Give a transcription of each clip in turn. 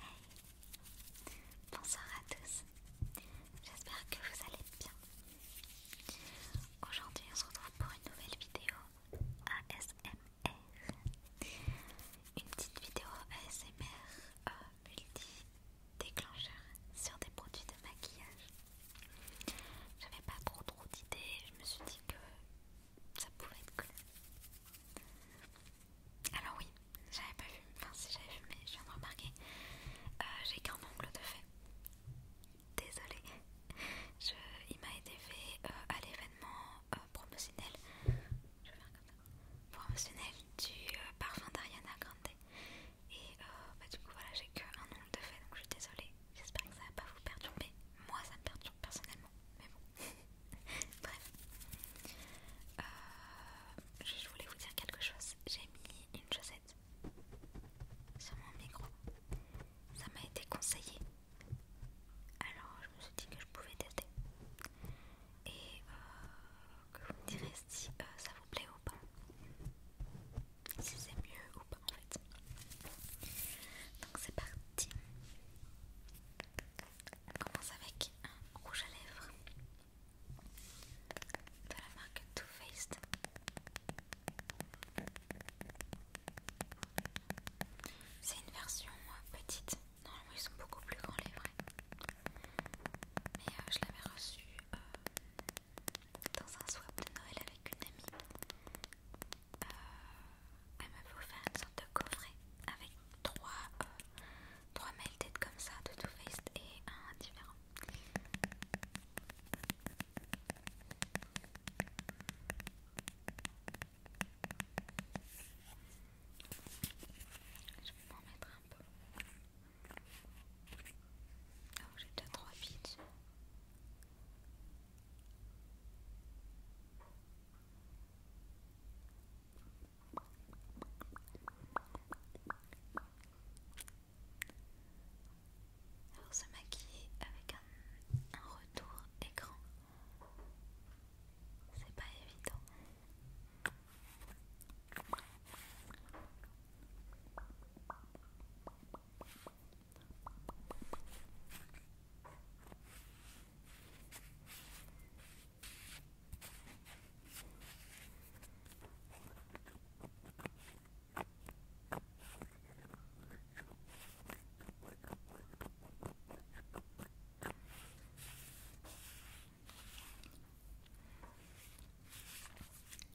Hey. Bonsoir à tous, j'espère que vous allez bien. Aujourd'hui on se retrouve pour une nouvelle vidéo ASMR. Une petite vidéo ASMR euh, multi-déclencheur sur des produits de maquillage. J'avais pas trop trop d'idées, je me suis dit que ça pouvait être cool. Alors oui, j'avais pas vu, enfin si j'avais vu, mais je viens de remarquer, euh, j'ai qu'un ongle de fait. Désolée, il m'a été fait euh, à l'événement euh, promotionnel, je vais faire comme ça, promotionnel du parfum d'Ariana Grande. Et bah, du coup voilà, j'ai qu'un ongle de fait, donc je suis désolée. J'espère que ça va pas vous perturber. Moi ça me perturbe personnellement, mais bon. Bref. Euh, je voulais vous dire quelque chose. J'ai mis une chaussette sur mon micro. Ça m'a été conseillé. Alors je me suis dit que je pouvais tester. Et euh, que vous me direz si euh, ça vous plaît ou pas. Si c'est mieux ou pas en fait. Donc c'est parti. On commence avec un rouge à lèvres de la marque Too Faced. C'est une version euh, petite. Normalement, ils sont beaucoup plus grands les vrais. Mais euh, je l'avais reçu euh, dans un swap de Noël avec une amie. Il euh, elle faut faire une sorte de coffret avec trois, euh, trois comme ça de Too Faced et un différent. Je vais en mettre un peu. Oh, j'ai déjà trois pitchs. Alors se maquiller avec un, un retour écran, c'est pas évident.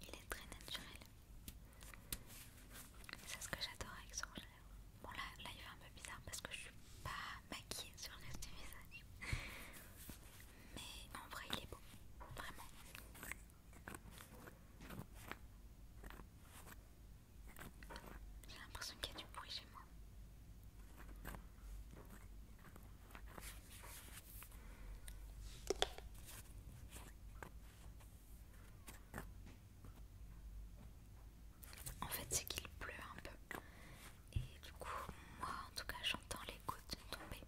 Il est très naturel. C'est ce que j'adore avec son Bon là, il fait un peu bizarre parce que je suis pas maquillée sur le reste du visage. Mais en vrai il est beau, vraiment. J'ai l'impression qu'il y a du bruit chez moi. En fait, c'est qu'il pleut un peu. Et du coup, moi en tout cas, j'entends les gouttes tomber.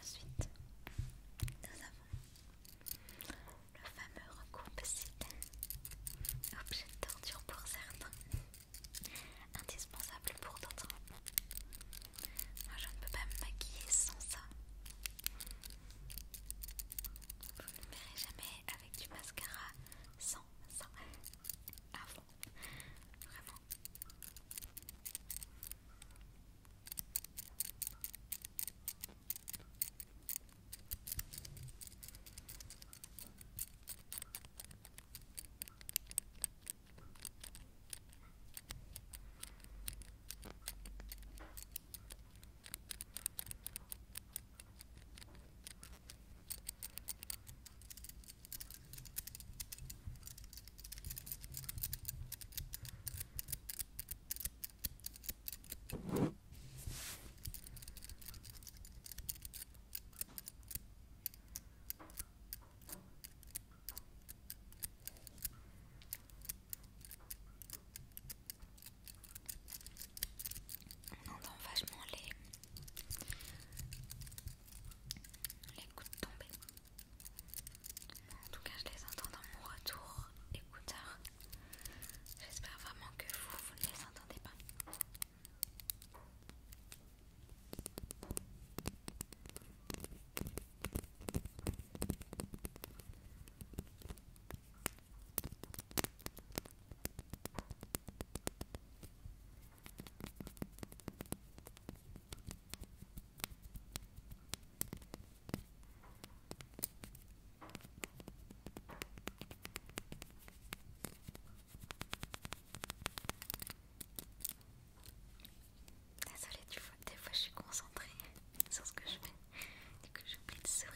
Ensuite, nous avons le fameux recoupe-cils, objet de torture pour certains, indispensable pour d'autres. Moi je ne peux pas me maquiller sans ça. Vous ne me verrez jamais avec du mascara sans ça. Avant, Vraiment. On entend vachement les, les coups de tomber. En tout cas, je les entends dans mon retour écouteur. J'espère vraiment que vous, vous ne les entendez pas. Désolée, tu vois, des fois je suis concentrée sur ce que je fais et que j'oublie de sourire.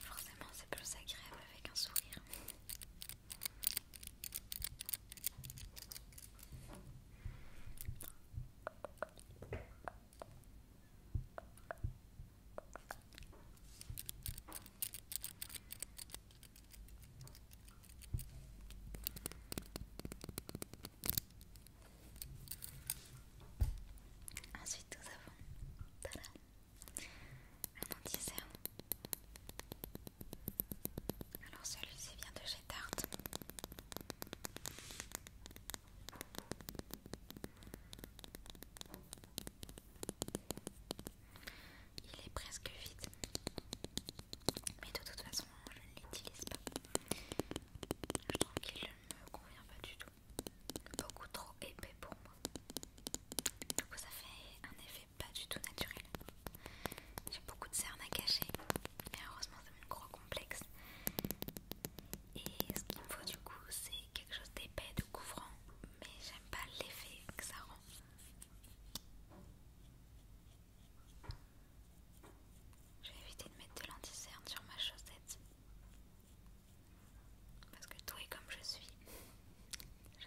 Forcément, c'est plus agréable avec un sourire. Ensuite, nous avons un anti Alors, celui-ci vient de chez Tarte. Il est presque vide, mais de toute façon, je ne l'utilise pas. Je trouve qu'il ne me convient pas du tout. Beaucoup trop épais pour moi. Du coup ça fait un effet pas du tout naturel. J'ai beaucoup de cernes à cacher. Mais heureusement c'est mon gros complexe. Et ce qu'il me faut du coup c'est quelque chose d'épais, de couvrant. Mais j'aime pas l'effet que ça rend. J'ai évité de mettre de l'anticerne sur ma chaussette. Parce que tout est comme je suis. Je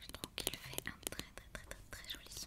Je trouve qu'il fait un très très très très très joli son.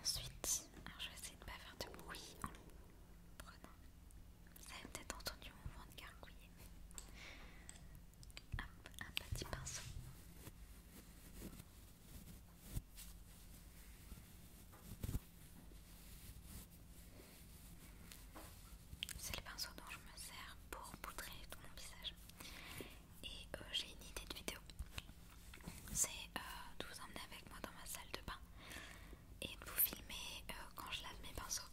Ensuite, alors je vais essayer de ne pas faire de bruit en vous avez peut-être entendu mon vent gargouiller. un petit pinceau. C'est le pinceau dont je me sers pour poudrer tout mon visage. Et euh, j'ai une idée de vidéo. C'est de euh, vous emmener avec moi dans ma salle de bain et de vous filmer euh, quand je lave mes pinceaux.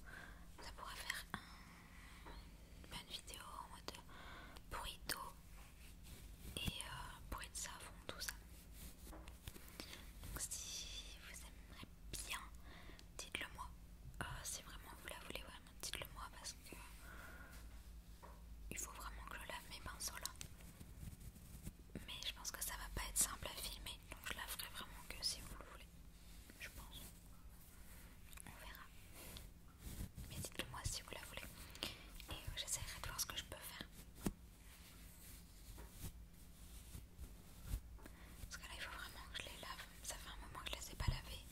Ça pourrait faire une bonne vidéo en mode bruit d'eau et euh, bruit de savon, tout ça. Donc si vous aimeriez bien, dites-le moi. Euh, si vraiment vous la voulez, vraiment dites-le moi parce que il faut vraiment que je lave mes pinceaux là mais je pense que ça va pas être simple à filmer donc je la ferai vraiment que si vous le voulez je pense on verra mais dites le moi si vous la voulez et euh, j'essaierai de voir ce que je peux faire parce que là il faut vraiment que je les lave ça fait un moment que je les ai pas lavées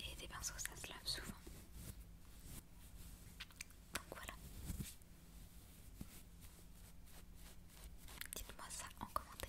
et des pinceaux ça se lave souvent donc voilà Dites-moi ça en commentaire.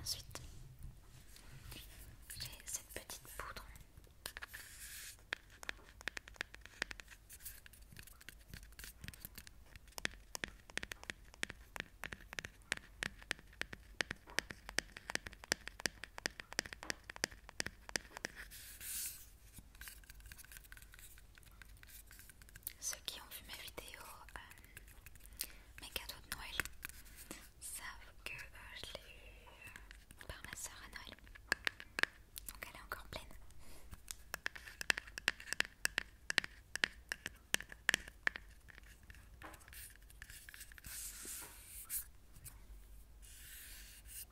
Ensuite, j'ai cette petite poudre. Ceux qui ont vu ma vidéo, euh, mes cadeaux de Noël, savent que euh, je l'ai eu par ma soeur à Noël. Donc elle est encore pleine.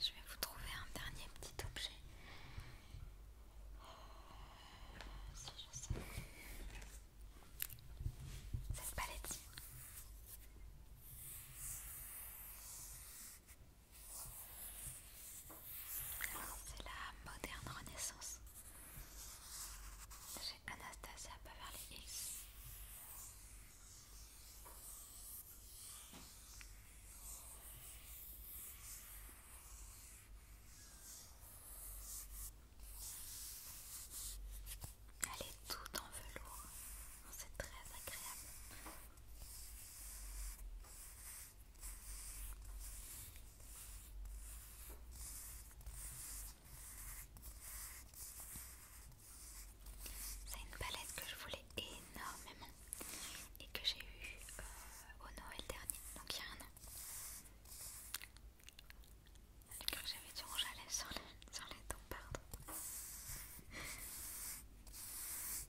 Je vais vous trouver un dernier petit objet. Euh, c'est la moderne renaissance. J'ai Anastasia les Hills. Elle est toute en velours, c'est très agréable. C'est une palette que je voulais énormément et que j'ai eue euh, au Noël dernier, donc il y a un an. j'avais du rouge à lèvres sur les, sur les dents, pardon.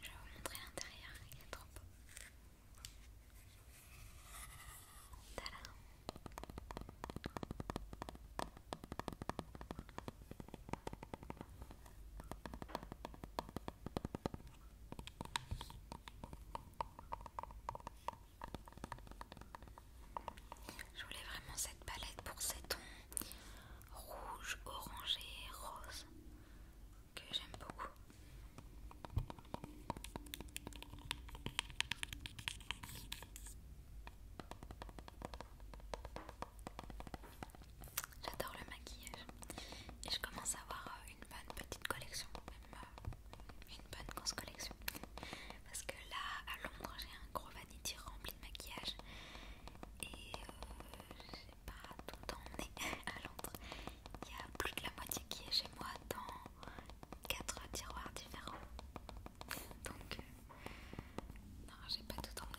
Je vais vous montrer l'intérieur, il est trop beau. Je voulais vraiment cette palette pour ces tons rouge, orangé, rose que j'aime beaucoup. J'adore le maquillage et je commence à avoir une bonne petite collection, même euh, une bonne grosse collection parce que là à Londres j'ai un gros vanity rempli de maquillage et euh, j'ai pas tout emmené à Londres. Il y a plus de la moitié qui est chez moi dans quatre tiroirs différents. Donc euh, non j'ai pas tout emmené.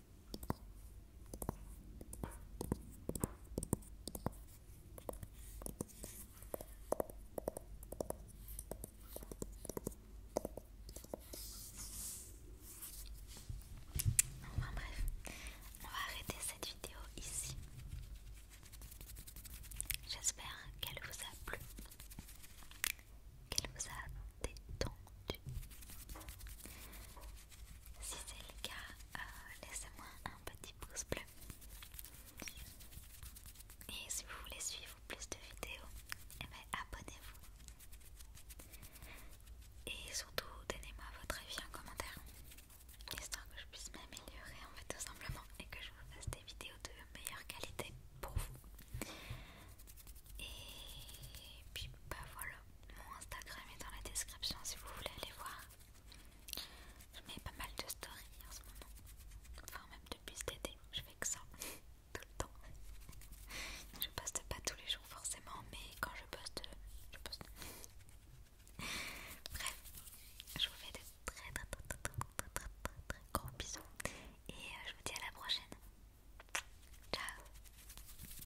Enfin bref, on va arrêter cette vidéo ici. J'espère qu'elle vous a plu, qu'elle vous a détendu. Si c'est le cas, euh, laissez-moi un petit pouce bleu. Et si vous voulez suivre plus de vidéos, eh ben, abonnez-vous. Et surtout, donnez-moi votre avis en commentaire, histoire que je puisse m'améliorer en fait tout simplement et que je vous fasse des vidéos de meilleure qualité pour vous. Et puis bah voilà. Mon Instagram est dans la description si vous voulez aller voir. Je mets pas mal de stories en ce moment. Enfin, même depuis cet été, je fais que ça. Tout le temps. Je poste pas tous les jours forcément, mais quand je poste, je poste. Bref, je vous fais de très très très très très très très très gros bisous et euh, je vous dis à la prochaine. Ciao